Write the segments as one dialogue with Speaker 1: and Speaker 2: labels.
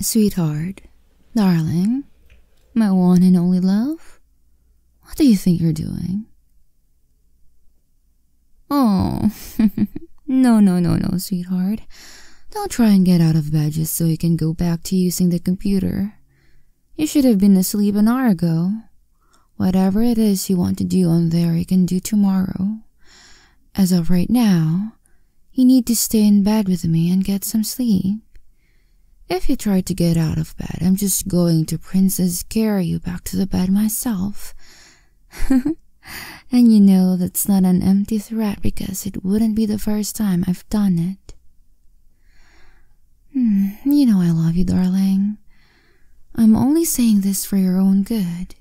Speaker 1: Sweetheart, darling, my one and only love, what do you think you're doing? Oh, no, no, no, no, sweetheart. Don't try and get out of bed just so you can go back to using the computer. You should have been asleep an hour ago. Whatever it is you want to do on there, you can do tomorrow. As of right now, you need to stay in bed with me and get some sleep. If you try to get out of bed, I'm just going to Princess carry you back to the bed myself. and you know that's not an empty threat because it wouldn't be the first time I've done it. Hmm, you know I love you, darling. I'm only saying this for your own good.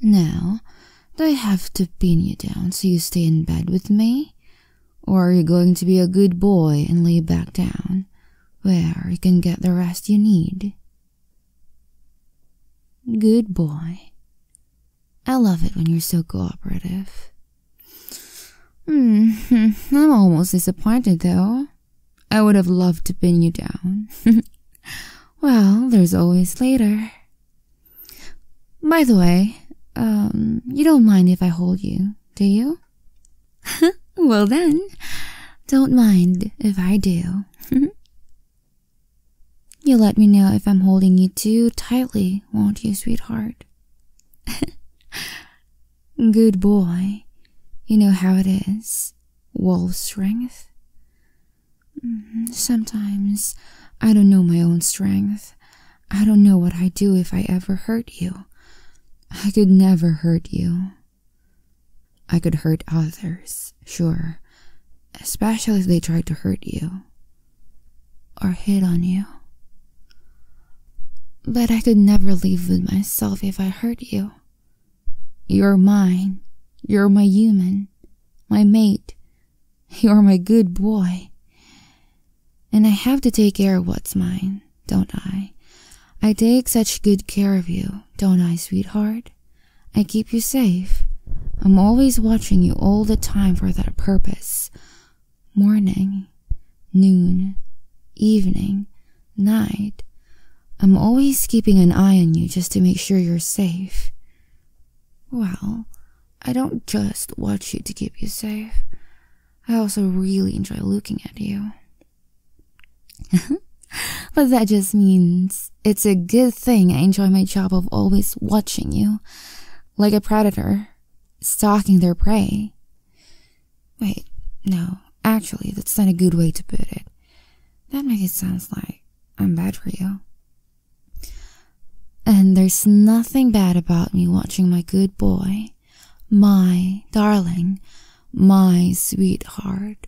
Speaker 1: Now, do I have to pin you down so you stay in bed with me? Or are you going to be a good boy and lay back down, where you can get the rest you need? Good boy. I love it when you're so cooperative. Hmm, I'm almost disappointed though. I would have loved to pin you down. well, there's always later. By the way, um, you don't mind if I hold you, do you? well then, don't mind if I do. you will let me know if I'm holding you too tightly, won't you, sweetheart? Good boy. You know how it is. Wolf strength. Mm-hmm. Sometimes I don't know my own strength. I don't know what I'd do if I ever hurt you. I could never hurt you. I could hurt others, sure, especially if they tried to hurt you or hit on you. But I could never live with myself if I hurt you. You're mine. You're my human, my mate. You're my good boy. And I have to take care of what's mine, don't I? I take such good care of you, don't I, sweetheart? I keep you safe. I'm always watching you all the time for that purpose morning, noon, evening, night. I'm always keeping an eye on you just to make sure you're safe. Well, I don't just watch you to keep you safe. I also really enjoy looking at you. but that just means it's a good thing I enjoy my job of always watching you. Like a predator, stalking their prey. Wait, no, actually, that's not a good way to put it. That makes it sound like I'm bad for you. And there's nothing bad about me watching my good boy, my darling, my sweetheart,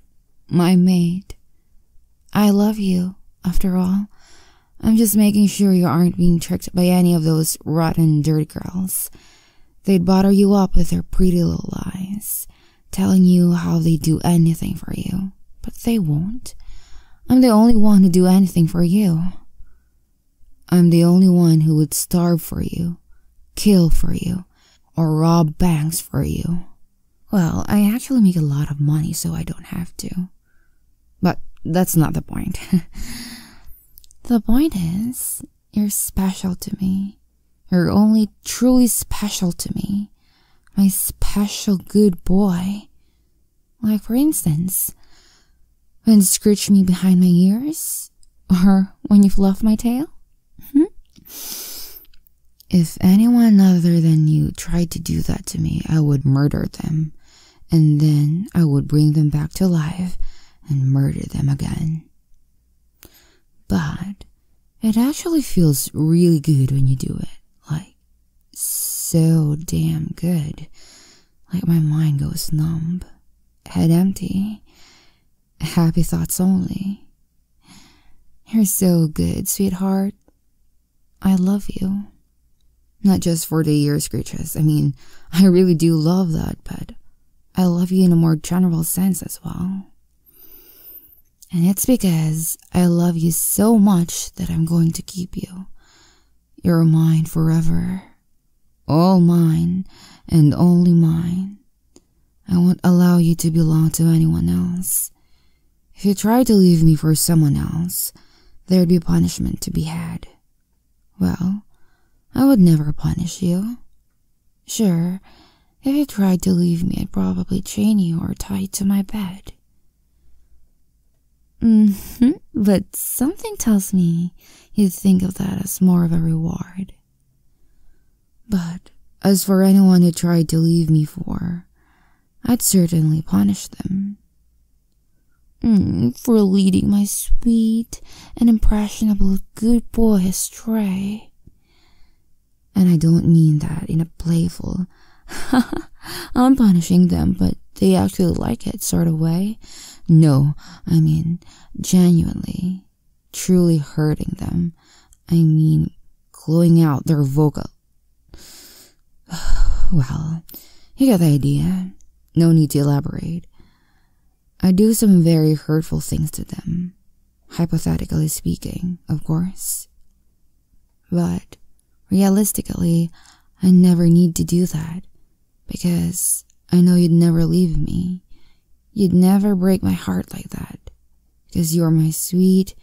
Speaker 1: my mate. I love you, after all, I'm just making sure you aren't being tricked by any of those rotten dirty girls. They'd butter you up with their pretty little lies, telling you how they would do anything for you, but they won't. I'm the only one who would do anything for you. I'm the only one who would starve for you, kill for you, or rob banks for you. Well, I actually make a lot of money, so I don't have to. But that's not the point. the point is, you're special to me. You're only truly special to me. My special good boy. Like, for instance, when you scratch me behind my ears, or when you fluff my tail. Hmm? if anyone other than you tried to do that to me, I would murder them and then I would bring them back to life and murder them again. But it actually feels really good when you do it. Like, so damn good. Like, my mind goes numb, head empty, happy thoughts only. You're so good, sweetheart. I love you. Not just for the years, screeches. I mean, I really do love that, but I love you in a more general sense as well. And it's because I love you so much that I'm going to keep you. You're mine forever. All mine and only mine. I won't allow you to belong to anyone else. If you tried to leave me for someone else, there'd be punishment to be had. Well, I would never punish you. Sure, if you tried to leave me, I'd probably chain you or tie you to my bed. Mm-hmm, but something tells me you would think of that as more of a reward. But as for anyone who tried to leave me for, I'd certainly punish them. Hmm, for leading my sweet and impressionable good boy astray. And I don't mean that in a playful, I'm punishing them, but they actually like it sort of way. No, I mean genuinely, truly hurting them. I mean, clawing out their vocal well, you get the idea. No need to elaborate. I do some very hurtful things to them, hypothetically speaking, of course. But realistically, I never need to do that because I know you'd never leave me. You'd never break my heart like that because you're my sweet,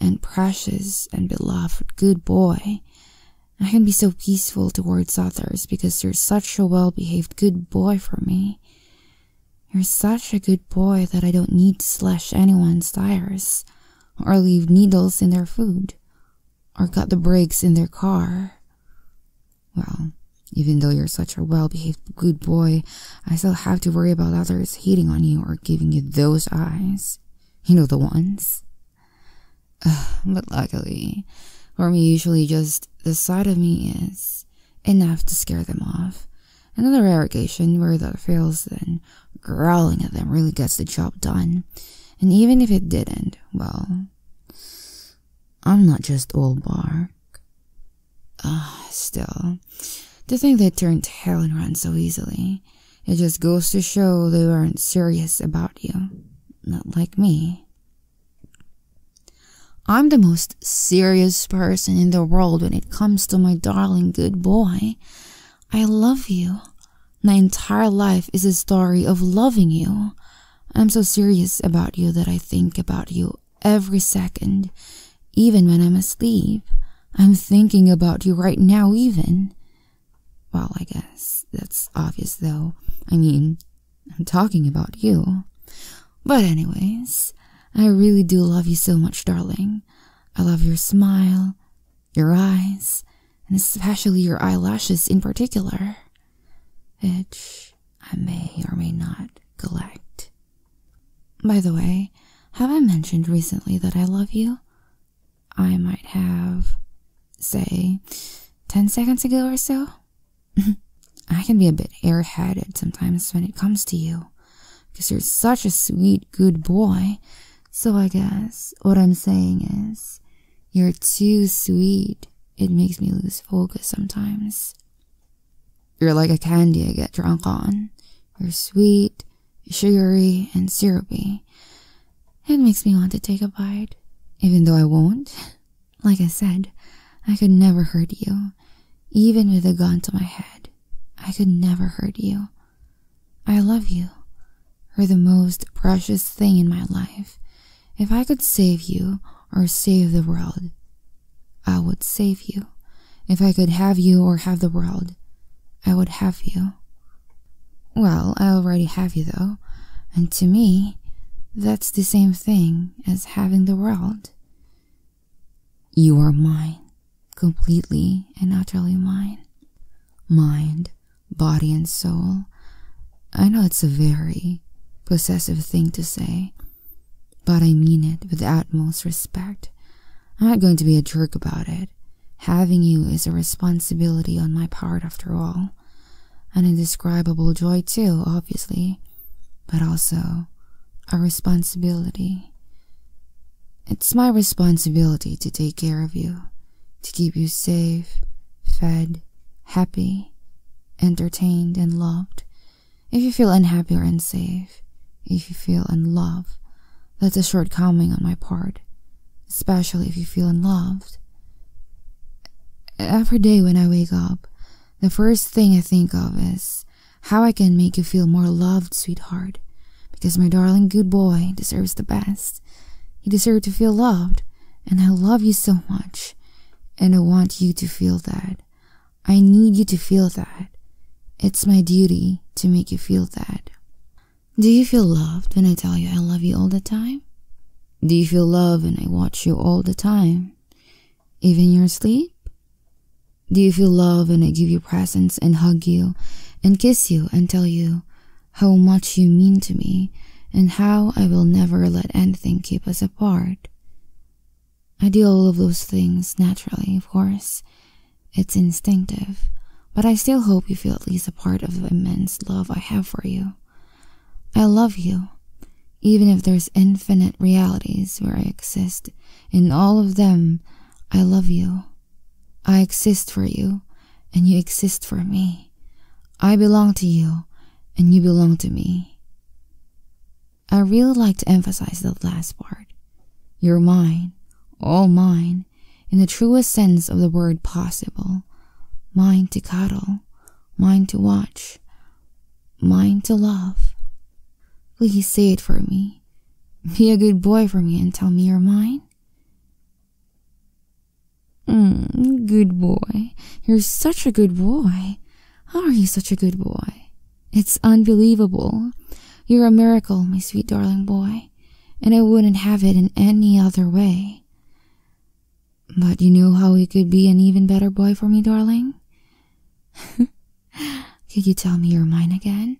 Speaker 1: and precious and beloved good boy. I can be so peaceful towards others because you're such a well behaved good boy for me. You're such a good boy that I don't need to slash anyone's tires, or leave needles in their food, or cut the brakes in their car. Well, even though you're such a well behaved good boy, I still have to worry about others hitting on you or giving you those eyes. You know, the ones. but luckily, for me, usually just the sight of me is enough to scare them off. Another rare occasion where the fails, then growling at them really gets the job done. And even if it didn't, well, I'm not just old bark. Ah, still, to think they turn tail and run so easily. It just goes to show they weren't serious about you. Not like me. I'm the most serious person in the world when it comes to my darling good boy. I love you. My entire life is a story of loving you. I'm so serious about you that I think about you every second even when I'm asleep. I'm thinking about you right now, even. Well, I guess that's obvious, though. I mean, I'm talking about you. But, anyways, I really do love you so much, darling. I love your smile, your eyes, and especially your eyelashes in particular, which I may or may not collect. By the way, have I mentioned recently that I love you? I might have, say, 10 seconds ago or so. I can be a bit airheaded sometimes when it comes to you, because you're such a sweet, good boy. So I guess what I'm saying is, you're too sweet. It makes me lose focus sometimes. You're like a candy I get drunk on. You're sweet, sugary and syrupy. It makes me want to take a bite, even though I won't. Like I said, I could never hurt you. Even with a gun to my head, I could never hurt you. I love you. You're the most precious thing in my life. If I could save you or save the world, I would save you. If I could have you or have the world, I would have you. Well, I already have you, though, and to me, that's the same thing as having the world. You are mine, completely and utterly mine. Mind, body, and soul. I know it's a very possessive thing to say, but I mean it with the utmost respect. I'm not going to be a jerk about it. Having you is a responsibility on my part, after all. An indescribable joy, too, obviously, but also a responsibility. It's my responsibility to take care of you, to keep you safe, fed, happy, entertained, and loved, if you feel unhappy or unsafe, if you feel unloved, that's a shortcoming on my part, especially if you feel unloved. Every day when I wake up, the first thing I think of is how I can make you feel more loved, sweetheart, because my darling good boy deserves the best. He deserves to feel loved, and I love you so much, and I want you to feel that. I need you to feel that. It's my duty to make you feel that. Do you feel loved when I tell you I love you all the time? Do you feel love when I watch you all the time? Even your sleep? Do you feel love when I give you presents and hug you and kiss you and tell you how much you mean to me and how I will never let anything keep us apart? I do all of those things naturally, of course. It's instinctive, but I still hope you feel at least a part of the immense love I have for you. I love you, even if there's infinite realities where I exist. In all of them, I love you. I exist for you, and you exist for me. I belong to you, and you belong to me. I really like to emphasize the last part. You're mine, all mine, in the truest sense of the word possible. Mine to cuddle, mine to watch, mine to love. Will you say it for me. Be a good boy for me and tell me you're mine. Mm, good boy. You're such a good boy. How are you such a good boy? It's unbelievable. You're a miracle, my sweet darling boy, and I wouldn't have it in any other way. But you know how you could be an even better boy for me, darling? could you tell me you're mine again?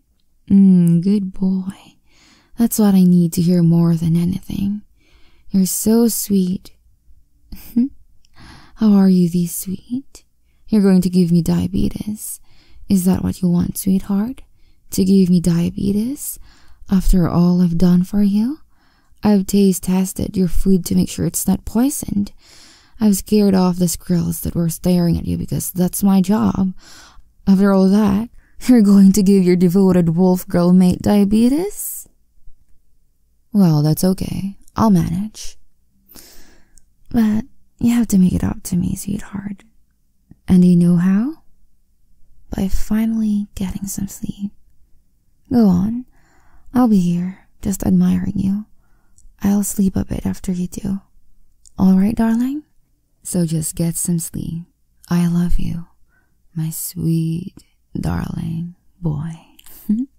Speaker 1: Mm, good boy. That's what I need to hear more than anything. You're so sweet. How are you, these sweet? You're going to give me diabetes. Is that what you want, sweetheart? To give me diabetes? After all I've done for you? I've taste tested your food to make sure it's not poisoned. I've scared off the squirrels that were staring at you because that's my job. After all that, you're going to give your devoted wolf girl mate diabetes? Well, that's okay. I'll manage. But you have to make it up to me, sweetheart. And you know how? By finally getting some sleep. Go on. I'll be here, just admiring you. I'll sleep a bit after you do. Alright, darling? So just get some sleep. I love you, my sweet, darling boy.